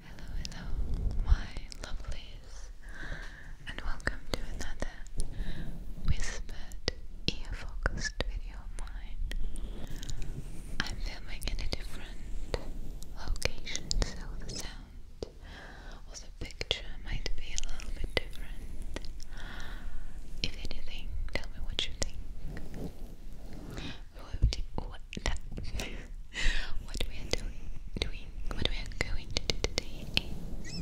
Hello, hello, my lovelies, and welcome to another whispered, ear focused video of mine. I'm filming in a different location, so the sound or the picture might be a little bit different. If anything, tell me what you think. Who what, what we are doing, doing, what we are going to do today is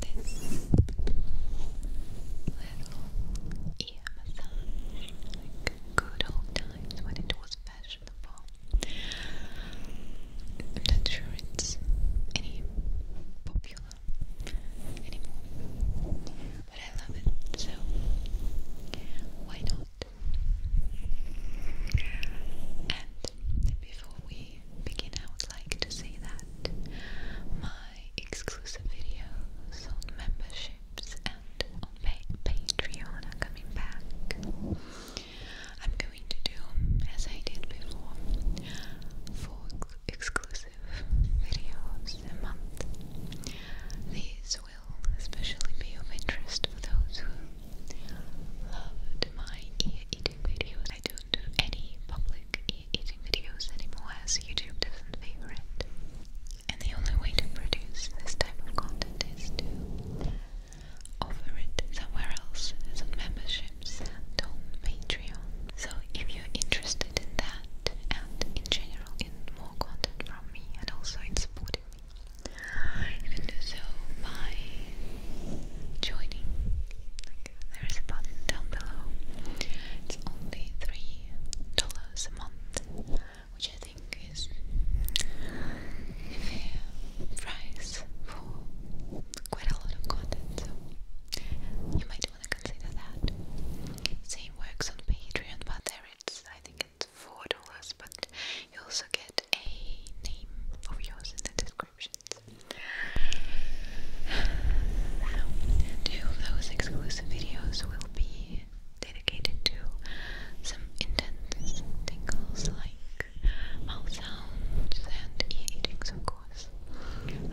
this little ear good old times when it was fashionable. I'm not sure it's any popular anymore but I love it, so why not? And before we begin, I would like to say that my exclusive videos on memberships and on Patreon are coming back. I'm going to do as I did before four exclusive videos a month. These will especially be of interest for those who loved my eating video. I don't do any public ear-eating videos anymore as YouTube doesn't favor it. And the only way to produce this type of content is to offer it somewhere else as on memberships and on Patreon. So if you're interested in that and in general general in more content from me and also in supporting me. You can do so by joining. there is a button down below. It's only three dollars a month, which I think is fair price for quite a lot of content. So you might want to consider that. Same works on Patreon, but there it's I think it's four dollars, but you also get a name of yours in the descriptions. two of those exclusive videos will be dedicated to some intense tingles like mouth sounds and ear of course. And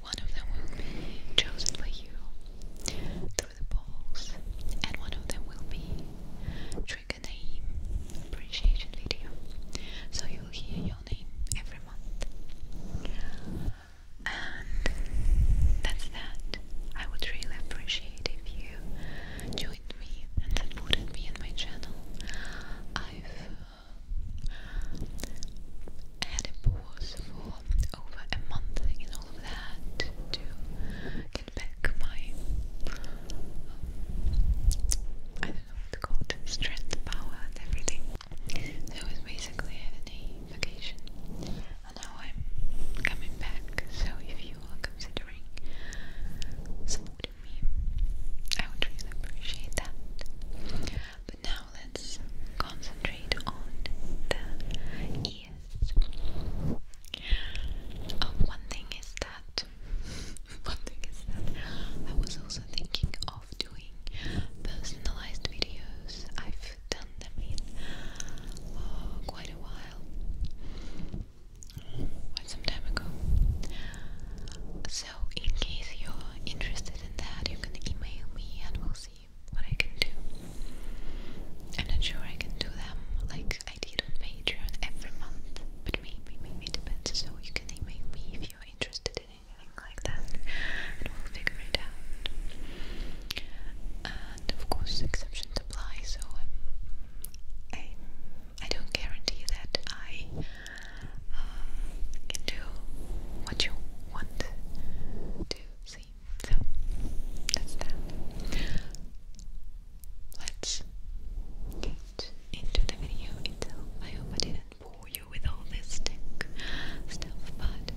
one of them will be chosen by you through the polls, and one of them will be Trigger Name Appreciation Video. So you'll hear your name every month. And that's that. I would really appreciate if you joined me and that supported be in my channel. I've uh, had a pause for over a month in all of that to get back my um, I don't know what to strength, power and everything. So was basically a vacation. And now I'm coming back, so if you are considering supporting me, I would really appreciate that. But now let's concentrate on the yes. Oh, thing is that, one thing is that I was also thinking of doing personalized videos. I've done them in uh, quite a while, quite some time ago. So, in case you're interested in that, you can email me and we'll see what I can do. I'm not sure I can do them like I did on Patreon every month, but maybe, maybe depends. So you can email me if you're interested in anything like that, and we'll figure it out. And of course, exceptions apply. So um, i I, don't guarantee that I uh, can do what you want to see. So that's that. Let's get into the video itself. I didn't bore you with all this tech stuff, but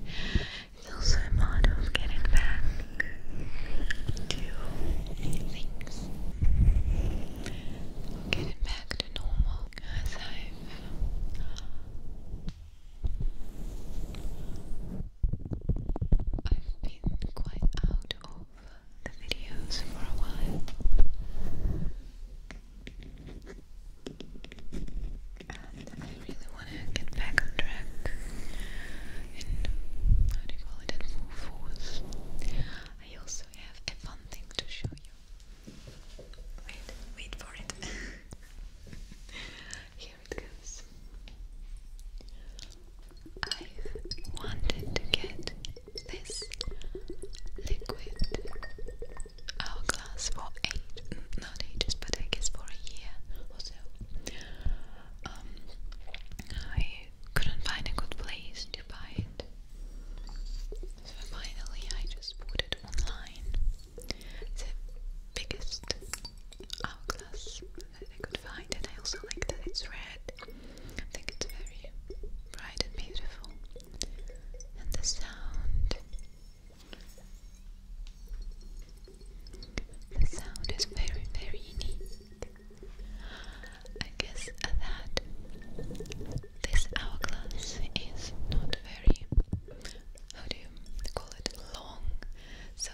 it's also a matter of getting back to things. getting back to normal. As I've I've been quite out of the videos for a while I really want to get back on track and how do you call it, at full force I also have a fun thing to show you wait, wait for it I've wanted to get this liquid hourglass for eight, not ages, but I guess for a year or so. Um, I couldn't find a good place to buy it, so finally I just bought it online. It's the biggest hourglass that I could find, and I also like that it's red. I think it's very bright and beautiful. And the sound. The sound is very, very unique. I guess that this hourglass is not very, how do you call it, long, so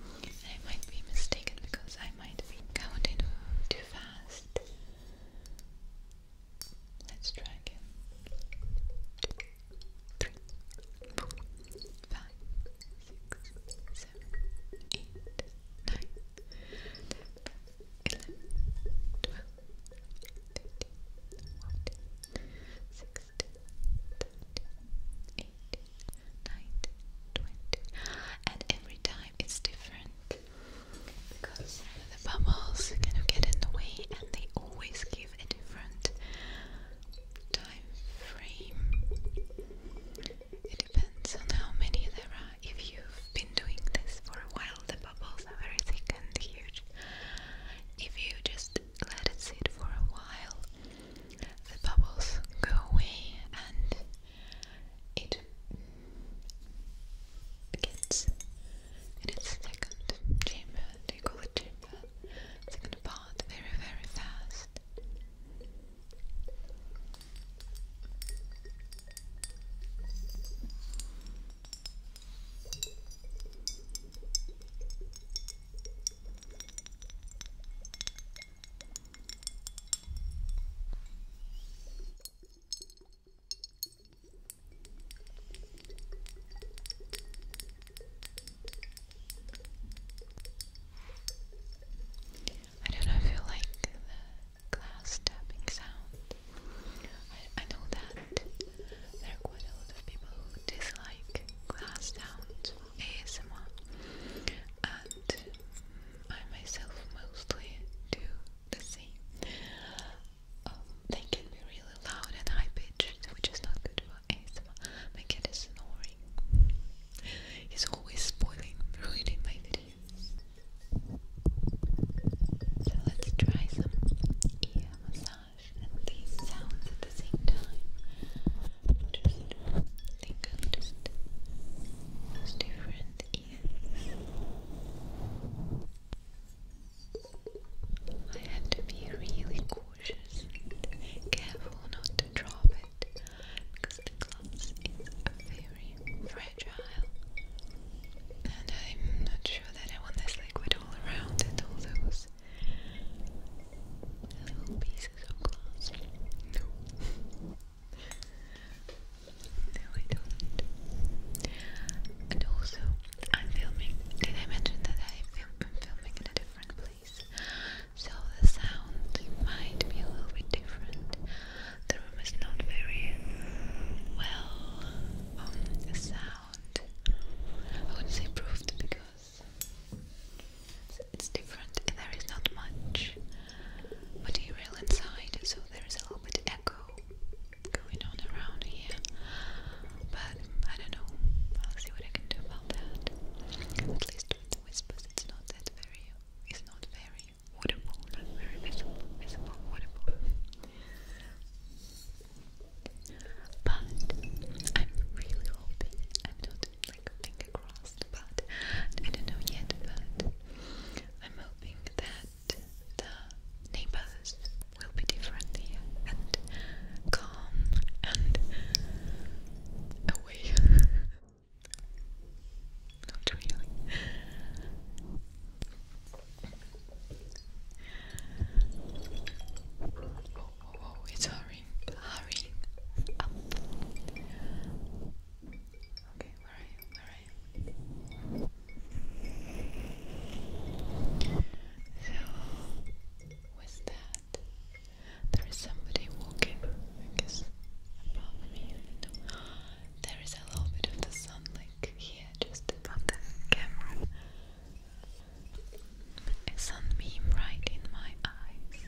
I might be mistaken because I might be counting too fast. Let's try again. Two, three, four, five, six, seven, eight, nine, ten, 11, 12, And every time it's different because the bubbles kind of get in the way and they always give a different time frame depends on how many there are. If you've been doing this for a while, the bubbles are very thick and huge. If you just let it sit for a while, the bubbles go away and it gets and its second chamber, do you call it chamber? Second part very, very fast. I don't know if you like glass tapping sound. I, know that there are quite a lot of people who dislike glass sounds ASMR, and I myself mostly do the same. Um, they can be really loud and high pitched, which is not good for ASMR. My cat is snoring. He's always spoiling, ruining my video. So let's try some ear massage and these sounds at the same time. Just think of just different ears. I have to be really cautious careful not to drop it because the gloves is very fragile fragile. And I'm not sure that I want this liquid all around it, all those little pieces of glass. No. I don't. And also, I'm filming. Did I mention that I'm filming in a different place? So the sound might be a little bit different the room is not very well um, sound. I wouldn't say proved because it's different and there is not much material inside, so there is a little bit echo going on around here. But I don't know. I'll see what I can do about that. At least with the whispers, it's not that very. It's not very waterfall, not very visible, visible waterfall. But I'm really hoping, I'm not like finger crossed, but I don't know yet, but I'm hoping that the neighbors will be different and calm and away. Not really. Oh, oh, oh, it's hurrying, hurrying Okay, where are So, with that, there is somebody walking, I guess, above me. There is a little bit of the sun like here just above the camera. A sunbeam right in my eyes.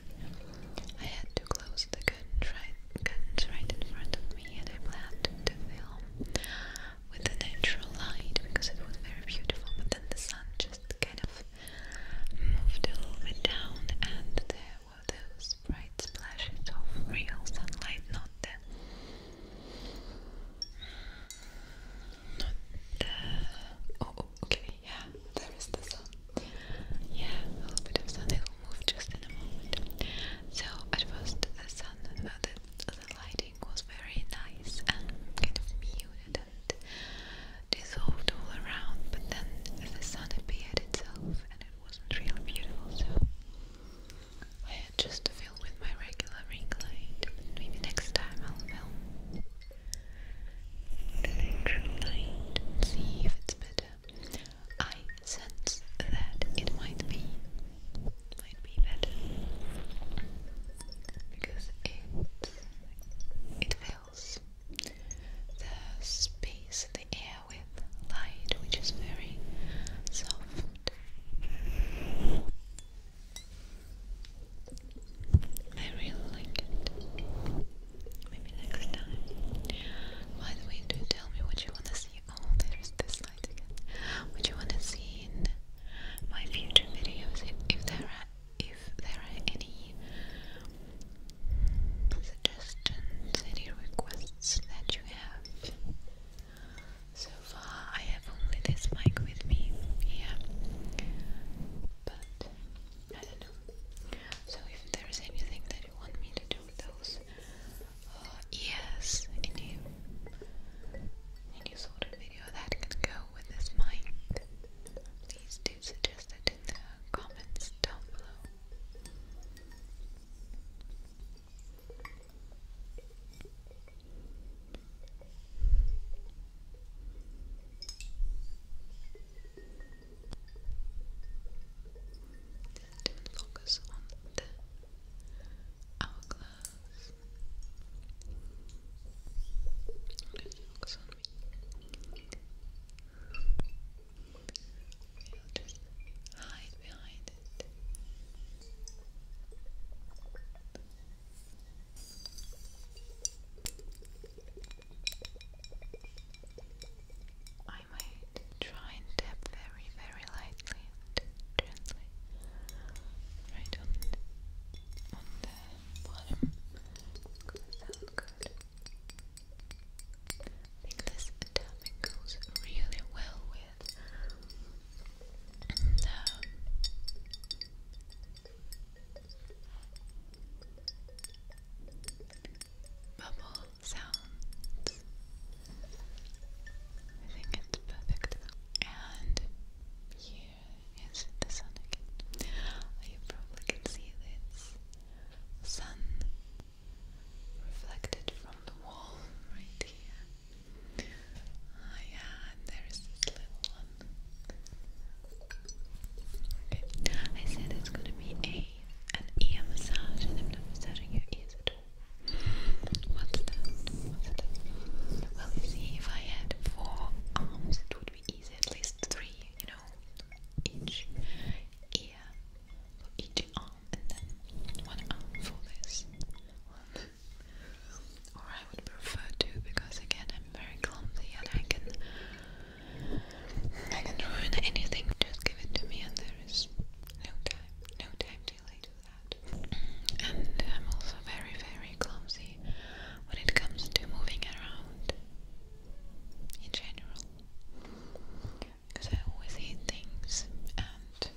I had to close the curtains right, curtains right in front of me and I planned to film with the natural light because it was very beautiful but then the sun just kind of moved a little bit down and there were those bright splashes of real sunlight, not them. not the oh, oh okay, yeah, there is the sun. Yeah, a little bit of sun, it will move just in a moment. So at first the sun the, the lighting was very nice and kind of muted and dissolved all around, but then the sun appeared itself and it wasn't really beautiful, so I had just to film with my regular ring light. Maybe next time I'll film the natural light see if it's better. I sense that it might be might be better because it it fills the space, the air with light, which is very soft. I really like it. Maybe next time. By the way, do tell me what you want to see. Oh, there's this light again. What you want to see in my future videos, if, there are, if there are any suggestions, any requests podcasts that you have. So far, I have only this mic with me here, but I don't know. So, if there is anything that you want me to do with those uh, ears, any, any sort of video that can go with this mic, please do suggest it in the comments down below. Just focus on the hourglass. Okay, focus on me. We'll I might try and tap very, very lightly and gently right on on the bottom because that good. I think this topic goes really well with um, bubble sounds. I think it's perfect. And here is the sun again. You probably can see this sun reflected from the wall right here. oh, yeah, and there is this little one. Okay, I said it's gonna be a an ear massage, and I'm not massaging your ears at all. Well, you see, if I had four arms, it would be easy. At least three, you know, each ear. So each arm and then one arm for this or I would prefer to because again I'm very clumsy and I can I can ruin anything. Just give it to me and there is no time, no time delay to that. And I'm also very very clumsy when it comes to moving around in general because I always hit things and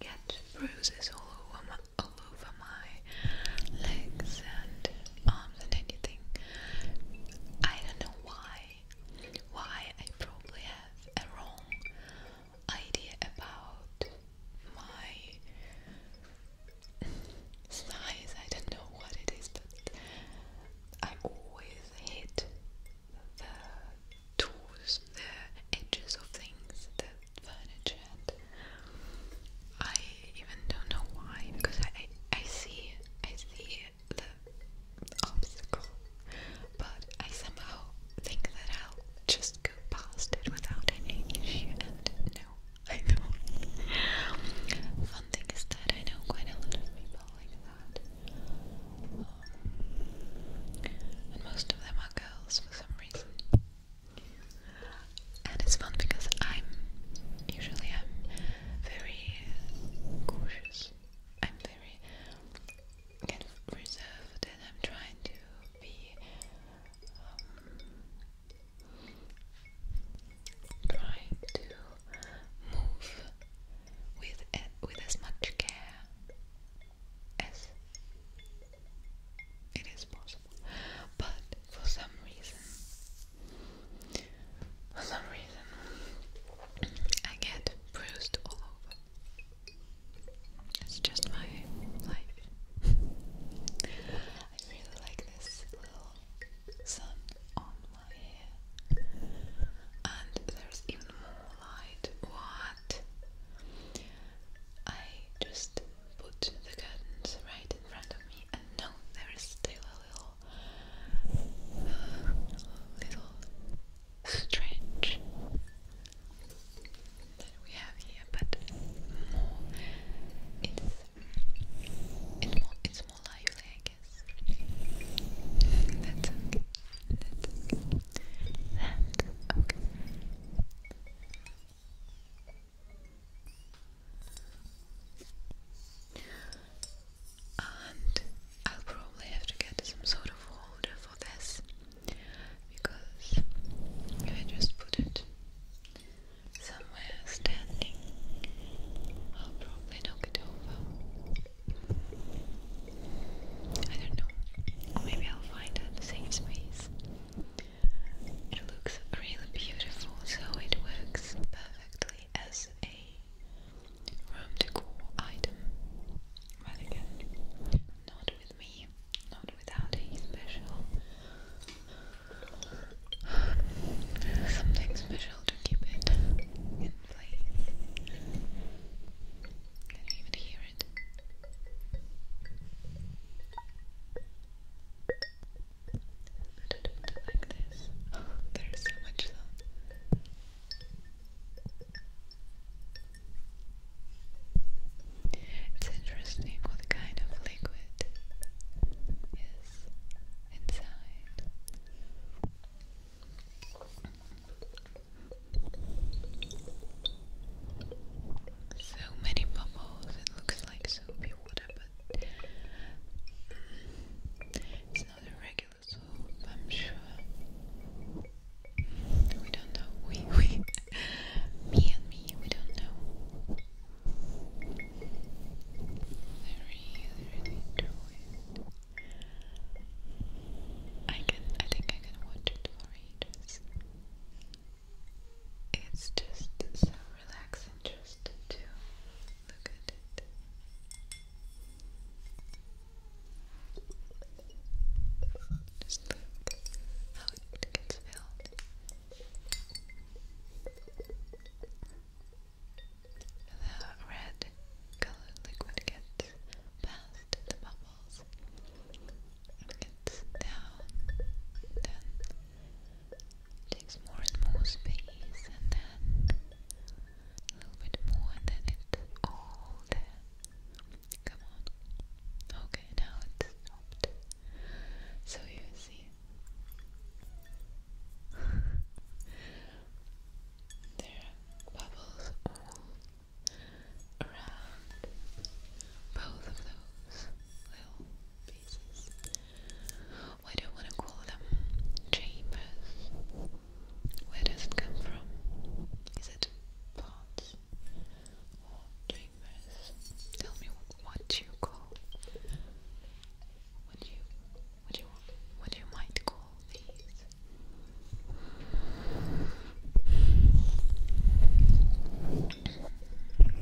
get bruises all over my, legs and arms and anything. I don't know why. Why I probably have a wrong idea about my size. I don't know what it is, but I always hit the tools, the edges of things, the furniture. I even don't know why, because I I see I see the obstacle, but I somehow think that I'll just go past it without any issue. And no, I don't. One thing is that I know quite a lot of people like that and most of them are girls for some reason. And it's fun because I'm usually I'm very cautious. I'm very reserved, and I'm trying to be um, trying to move with eh, with as much care as it is possible. But for some reason, for some reason, I get bruised all over. It's just my life. I really like this little sun on and there's even more light. What? I just put the curtains right in front of me, and no, there is still a little, little stretch that we have here, but more. It's, it's more. It's more lively, I focus. That's okay. And I'll probably have to get some sort of holder for this because if I just put it somewhere standing, I'll probably knock it over. I don't know. Maybe I'll find a safe space. It looks really beautiful, so it works perfectly as a room decor item. But again, not with me, not without a special. Something special to keep it place. Can you even hear it? I don't like this. there's so much It's interesting what kind of liquid is inside. So many bubbles, it looks like soapy water, but it's not a regular soap, I'm sure. We don't know. We, we, me and me, we don't know. I really, really enjoy I can I think I can watch it for ages. It's just so relaxing just to look at it. Just look how it gets filled. The red colored liquid gets past the bubbles gets down, then takes more and more space, and then a little bit more, and then it's all there. Come on. Okay, now it's stopped. So you see. There are bubbles all around both of those little pieces. Why do you want to call them chambers? Where does it come from? Is it pots or chambers? Tell me what you call what you what you what you might call these. Okay. Okay.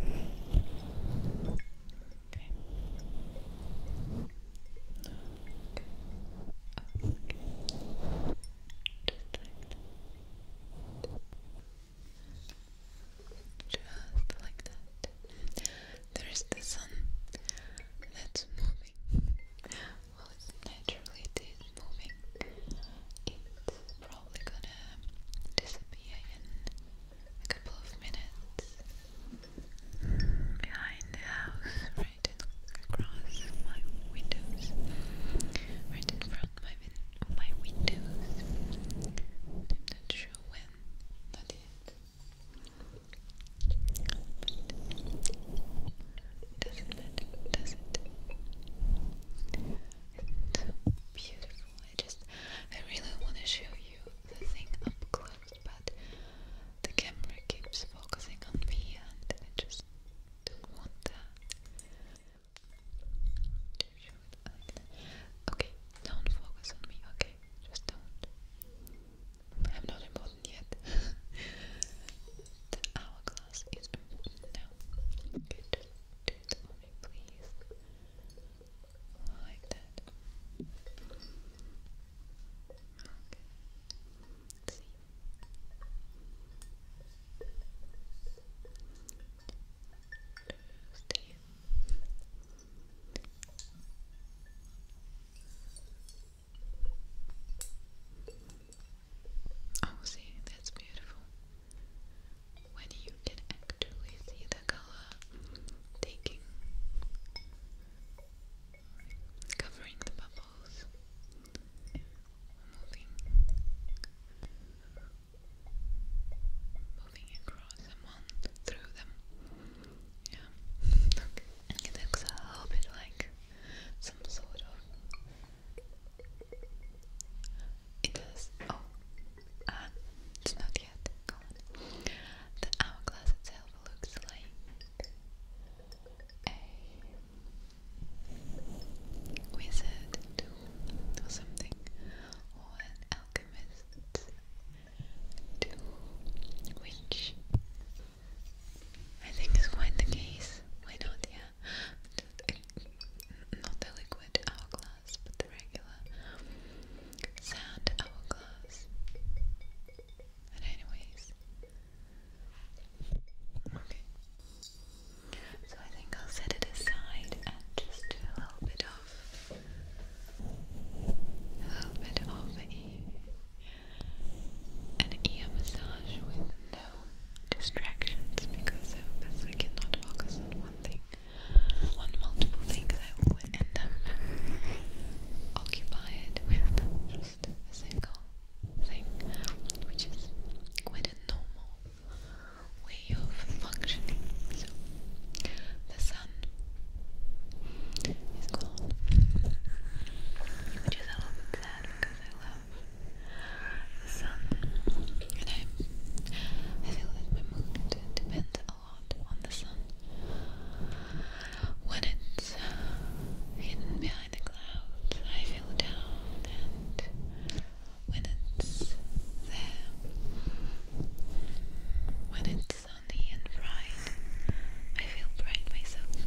Okay. Just like that. Just like that. There is the sun that's moving moving. well, naturally it is moving. It's probably gonna disappear in a couple of minutes behind the house, right across my windows, right in front of my, my windows. not sure when, not yet. Doesn't it? Does it? It's so beautiful. I just, I really want to show you the thing up close, but the camera keeps focusing on me, and I just don't want that. To show it Okay, don't focus on me. Okay, just don't. I'm not important yet. the hourglass is important now. Good. Do it please. Like that. Okay. See. Tuesday. Oh, see, that's beautiful. When you can actually see the color taking, covering the bubbles, moving, moving across them, through them. Yeah. It looks a little bit like some sort of. It is. Oh. Uh, it's not yet gone. The hourglass itself looks like a wizard or something, or an alchemist tool, which I think it's quite the case. Why not? Yeah, not the liquid hourglass, but the regular sand hourglass. But anyways, okay. So I think I'll set it aside and just do a little bit of a little bit of a an ear massage with no distractions because I obviously cannot focus on one thing, on multiple things. I will end up occupied with just a single thing, which is quite a normal way of functioning. So the sun is called. Which is a little bit sad because I love the sun. And I, I feel that my mood depends a lot on the sun. When it's hidden behind the clouds, I feel down, and when it's there, when it's sunny and bright. I feel bright myself,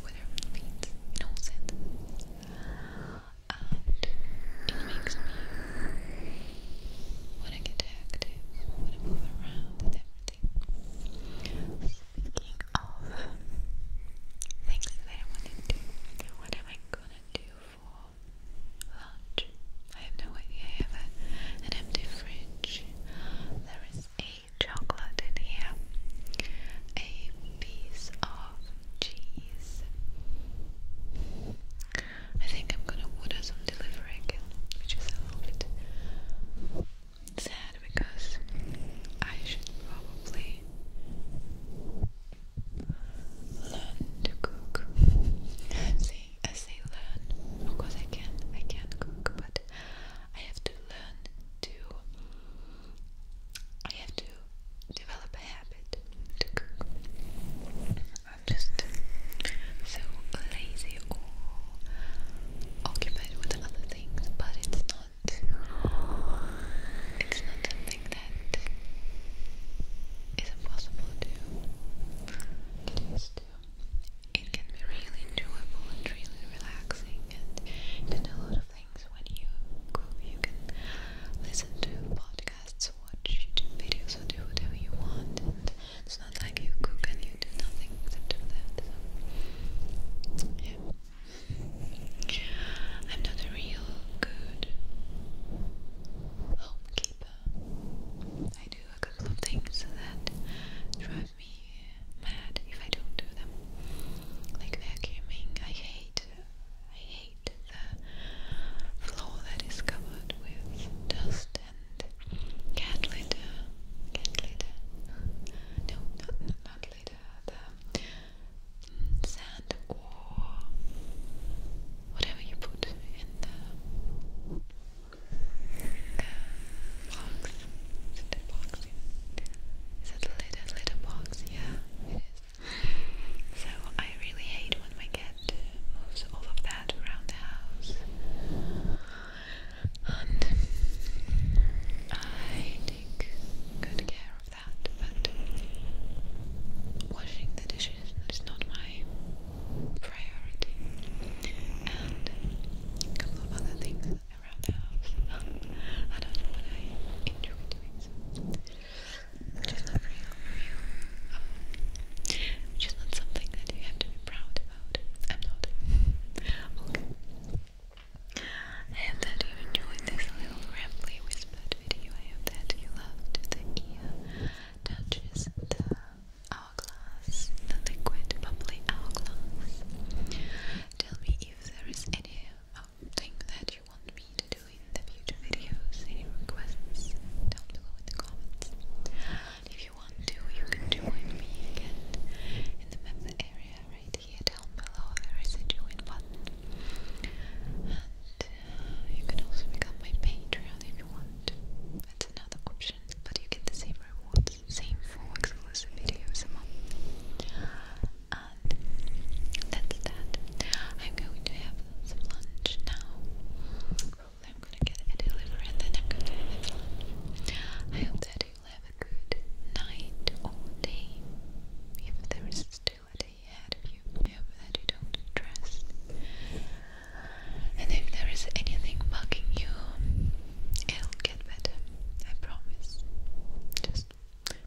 whatever it means, in all And it makes me when I get active, when I move around and everything. Speaking of things that I wanted to do, what am I gonna do for lunch? I have no idea. I have an empty fridge. There is a chocolate in here, a piece of cheese. I think I'm gonna order some delivery which is a little bit sad because I should probably learn to cook. I I say learn because I can, I can cook, but I have to learn to I have to develop a habit I'm just so lazy or occupied with other things, but it's not it's not something that is impossible to, to it can be really enjoyable and really relaxing, and you do a lot of things when you cook. You can listen to podcasts, watch videos, or do whatever you want. it's not like you cook and you do nothing except do that. yeah. I'm not a real good homekeeper. I do a couple of things that me mad if I don't do them. Like vacuuming, I hate, I hate the floor that is covered with dust and cat litter. Cat litter? No, not not litter. The mm, sand or whatever you put in the box. Is it a box? Is it a little, little box? Yeah, it is. So I really hate when my cat moves um, all of that around the house. And I take good care of that, but washing the dishes is not my priority. And a couple of other things around the house. I don't know what I enjoy doing, which is not real, real, um, which is not something that you have to be proud about. I'm not. okay. I hope that you enjoyed this little rambly whispered video. I hope that you loved the ear touches, the hourglass, the liquid bubbly hourglass. Tell me if there is any thing that you want me to do in the future videos, any requests down below in the comments. If you want to, you can join me again in the member area right here down below. There is a join button. And uh, you can also become my patron if you want. That's another option subscription, but you get the same rewards, same four exclusive videos a month. And that's that. I'm going to have some lunch now. I'm gonna get a delivery and then I'm gonna I hope that you have a good night or day. If there is still a day ahead of you, I that you don't stress. And if there is anything bugging you, it'll get better. I promise. Just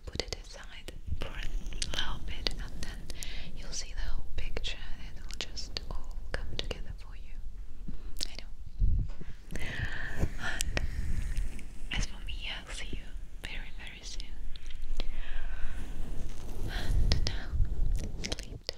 put it aside for a little bit and then you'll see the whole picture it'll just all come together for you. I know. And as for me, I'll see you very, very soon. And now, sleep time.